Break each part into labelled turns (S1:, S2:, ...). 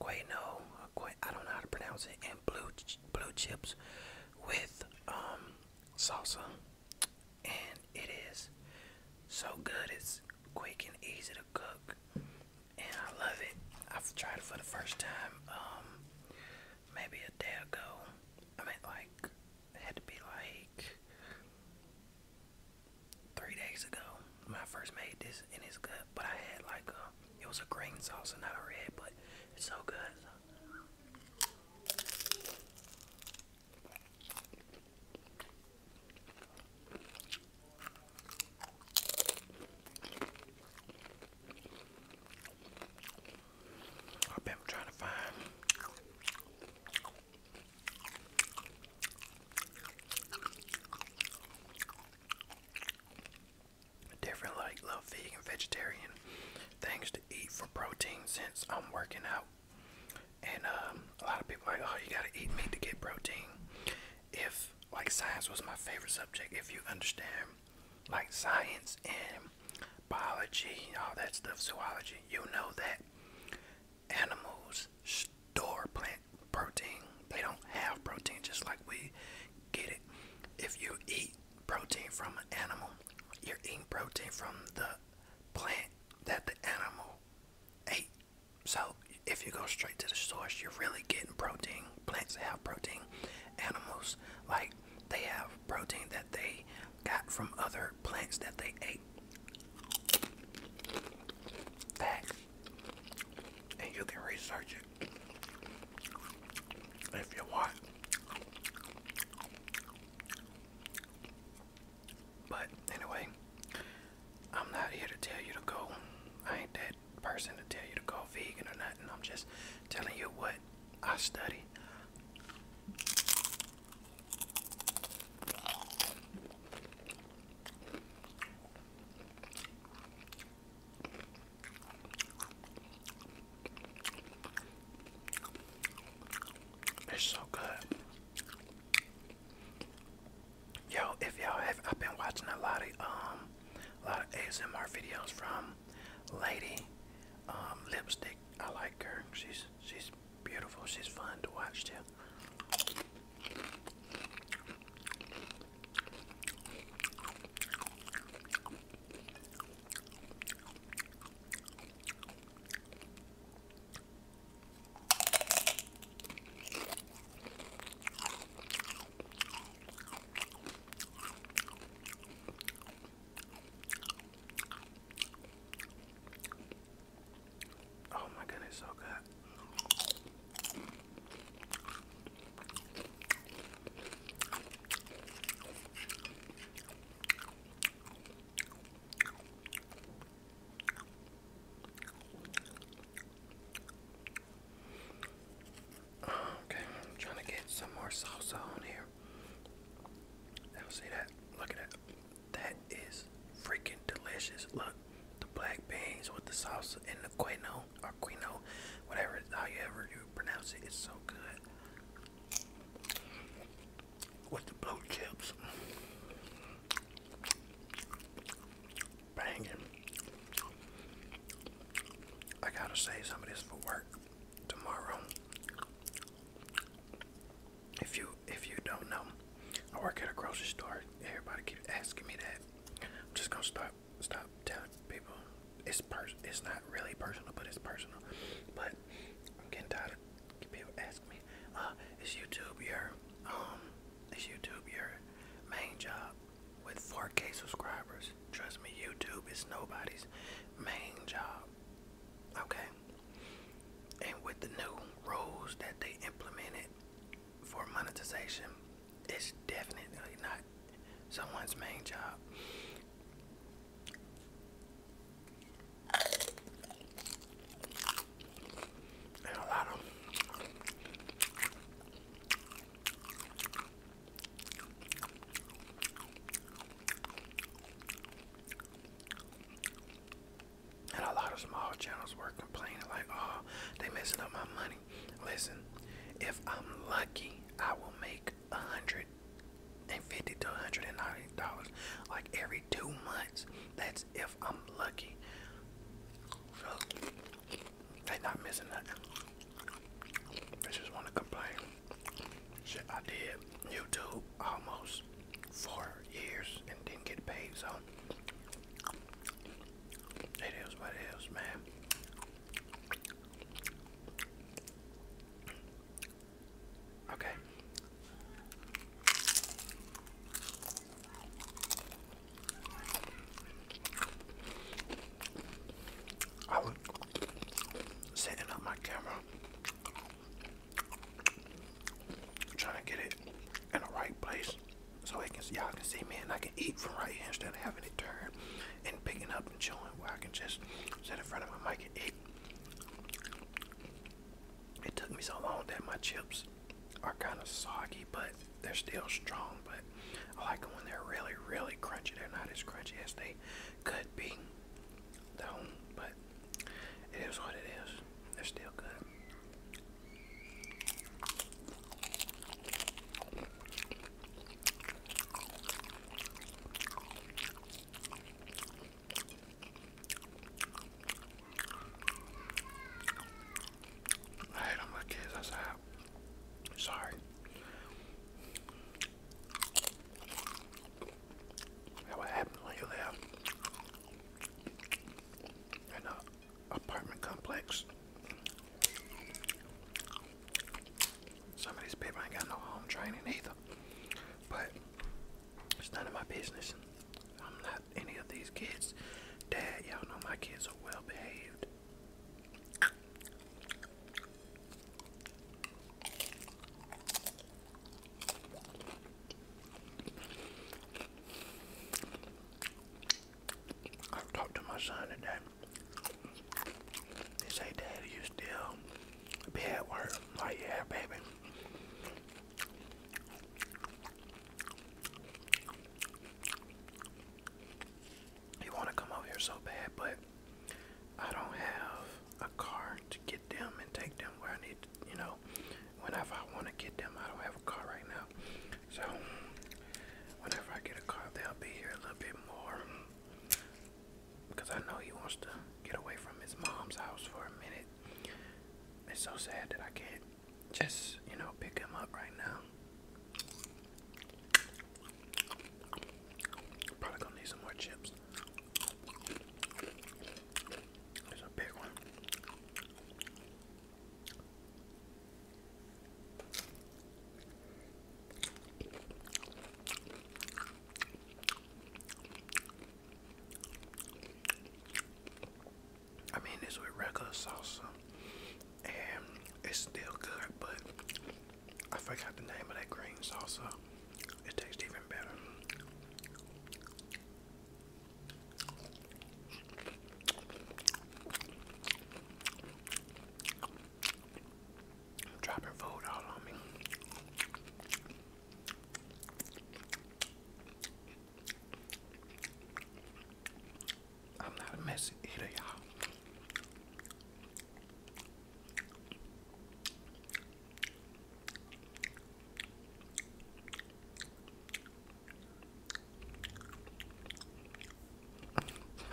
S1: quino, I don't know how to pronounce it, and blue blue chips with um, salsa, and it is so good. It's quick and easy to cook, and I love it. I've tried it for the first time um, maybe a day ago. I mean, like it had to be like three days ago when I first made this, and it's good. But I had like a, it was a green sauce and not a red, but it's so good. I've been trying to find different like little vegan vegetarian things to eat for protein since I'm working out. And um, a lot of people are like, oh, you gotta eat meat to get protein. If like science was my favorite subject, if you understand like science and biology, all that stuff, zoology, you know that animals store plant protein. They don't have protein just like we get it. If you eat protein from an animal, you're eating protein from the plant that the animal ate. So if you go straight to the source, you're really getting protein. Plants have protein. Animals, like, they have protein that they got from other plants that they ate. That. And you can research it if you want. But anyway, I'm not here to tell you to go. I ain't that person to tell you to go vegan or nothing. I'm just telling you what I study. It's so good. Yo, if y'all have, I've been watching a lot of um, a lot of ASMR videos from Lady um, Lipstick. I like her. She's she's beautiful. She's fun to watch too. Oh my goodness, so good. Okay, I'm trying to get some more salsa on here. Now see that? Look at that. That is freaking delicious. Look, the black beans with the salsa and the quino or whatever, however you pronounce it, it's so good. With the blue chips. Banging. I gotta say, some of this for work tomorrow. If you if you don't know, I work at a grocery store. Everybody keeps asking me that. I'm just gonna start stop telling people it's pers it's not really personal, but it's personal. But I'm getting tired of people asking me, uh, is YouTube your um is YouTube your main job with 4K subscribers? Trust me, YouTube is nobody's main job. Okay? And with the new rules that they implemented for monetization, it's definitely not someone's main job. And a lot of and a lot of small channels were complaining like, oh, they messing up my money. Listen, if I'm lucky, I will make a hundred and fifty to hundred and ninety dollars like every two months. That's if I'm lucky. So they not missing nothing. just want to complain. Shit, I did YouTube almost four years and didn't get paid, so it is what it is, man. Okay. I was setting up my camera, trying to get it in the right place so I can y'all can see me and I can eat from right here instead of having to turn and picking up and chewing where I can just sit in front of my mic and eat. It took me so long that my chips are kind of soggy, but they're still strong. But I like them when they're really, really crunchy. They're not as crunchy as they could be, though. But it is what it is. They're still good. I hate on my kids, that's how. Sorry. That what happens when you live in a apartment complex. Some of these people ain't got no home training either. But it's none of my business. I'm not any of these kids. Dad, y'all know my kids are well behaved. I talked to my son today. He say, Dad, you still be at work? I'm like, yeah, baby. You want to come over here so bad, but I don't have a car to get them and take them where I need, you know, whenever I want to get them. I don't have a car right now. So, whenever I get a car, they'll be here a little bit more. Because I know he wants to get away from his mom's house for a minute. It's so sad that I can't just, you know, pick him up right now. Probably gonna need some more chips. There's a big one. I mean, it's with regular salsa, and it's still good, but I forgot the name of that green salsa. It tastes even better. Dropping food all on me. I'm not a messy eater,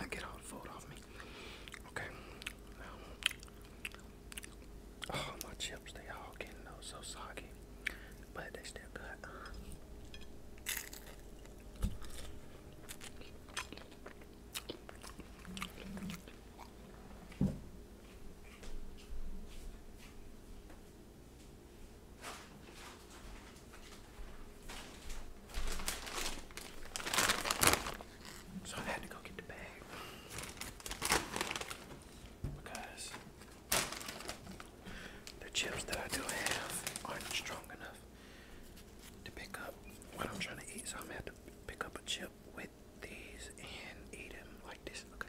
S1: I Get all the food off me. Okay. oh, my chips, they all getting you so soggy, but they still good. So I had to go get the bag because the chips that I do have aren't strong enough to pick up what I'm trying to eat. So I'm gonna have to pick up a chip with these and eat them like this. Okay.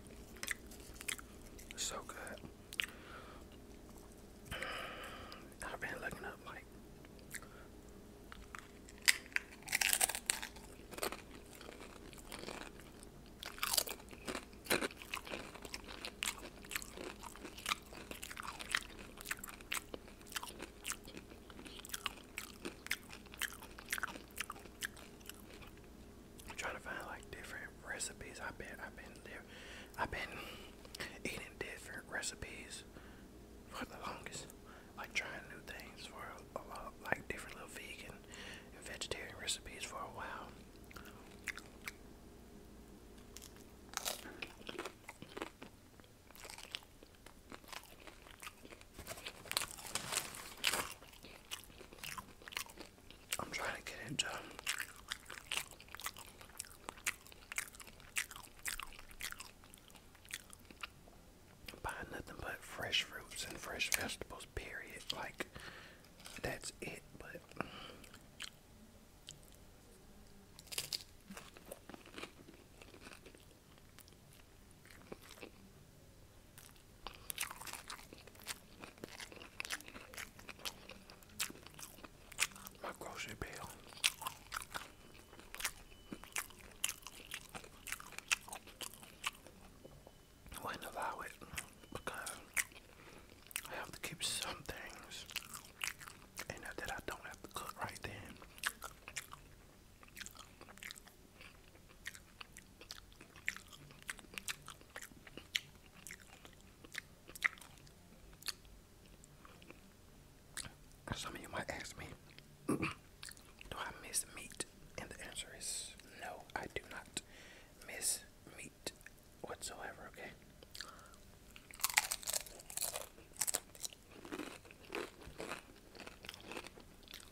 S1: So good. I've been looking up like i trying to find like different recipes. I've been, I've been, I've been eating different recipes for the longest. Like trying new things for a lot, like different little vegan and vegetarian recipes for a while. I'm trying to get into buying nothing but fresh fruits and fresh vegetables, period. Like, that's it, but. My grocery bill. I wouldn't allow it because I have to keep some things and that I don't have to cook right then. Some of you might ask me, do I miss meat? And the answer is no, I do not miss meat whatsoever, okay?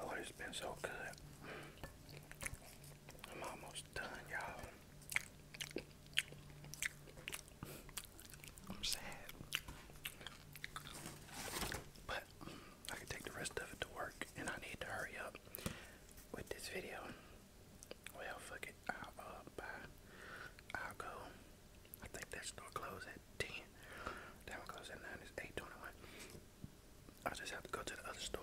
S1: Oh, it's been so good. I'm almost done, y'all. I'm sad. But I can take the rest of it to work, and I need to hurry up with this video. Well, fuck it. I'll uh, go. I think that store closed at 10. That one closed at 9. It's 821. I just have to go to the other store.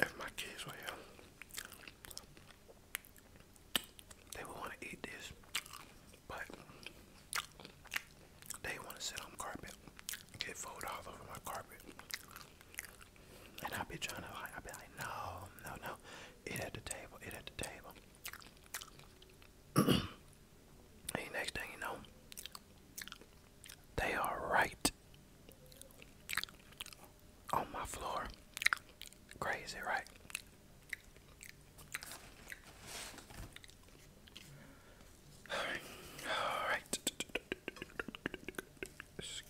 S1: If my kids were here, they would want to eat this, but they want to sit on carpet get food all over my carpet. And I'd be trying to, I'd be like, no, no, no, eat at the table, eat at the table. and next thing you know, they are right on my floor. Crazy, right? Alright, alright.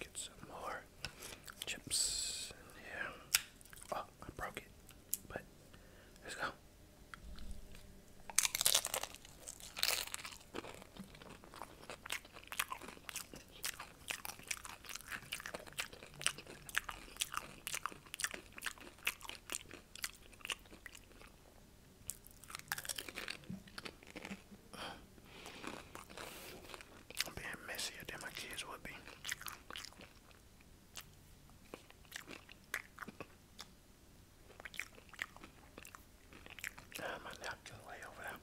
S1: get some more chips in here. Oh, I broke it. But let's go. I'm being messier than my kids would be. Uh, my napkin's way over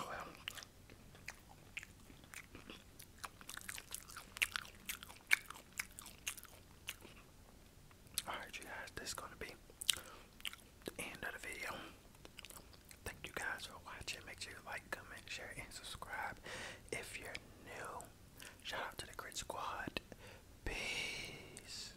S1: Oh well, Alright, you guys, this is going to be the end of the video. Thank you guys for watching. Make sure you like, comment, share, and subscribe. If you're new, shout out to the Grid Squad. Peace.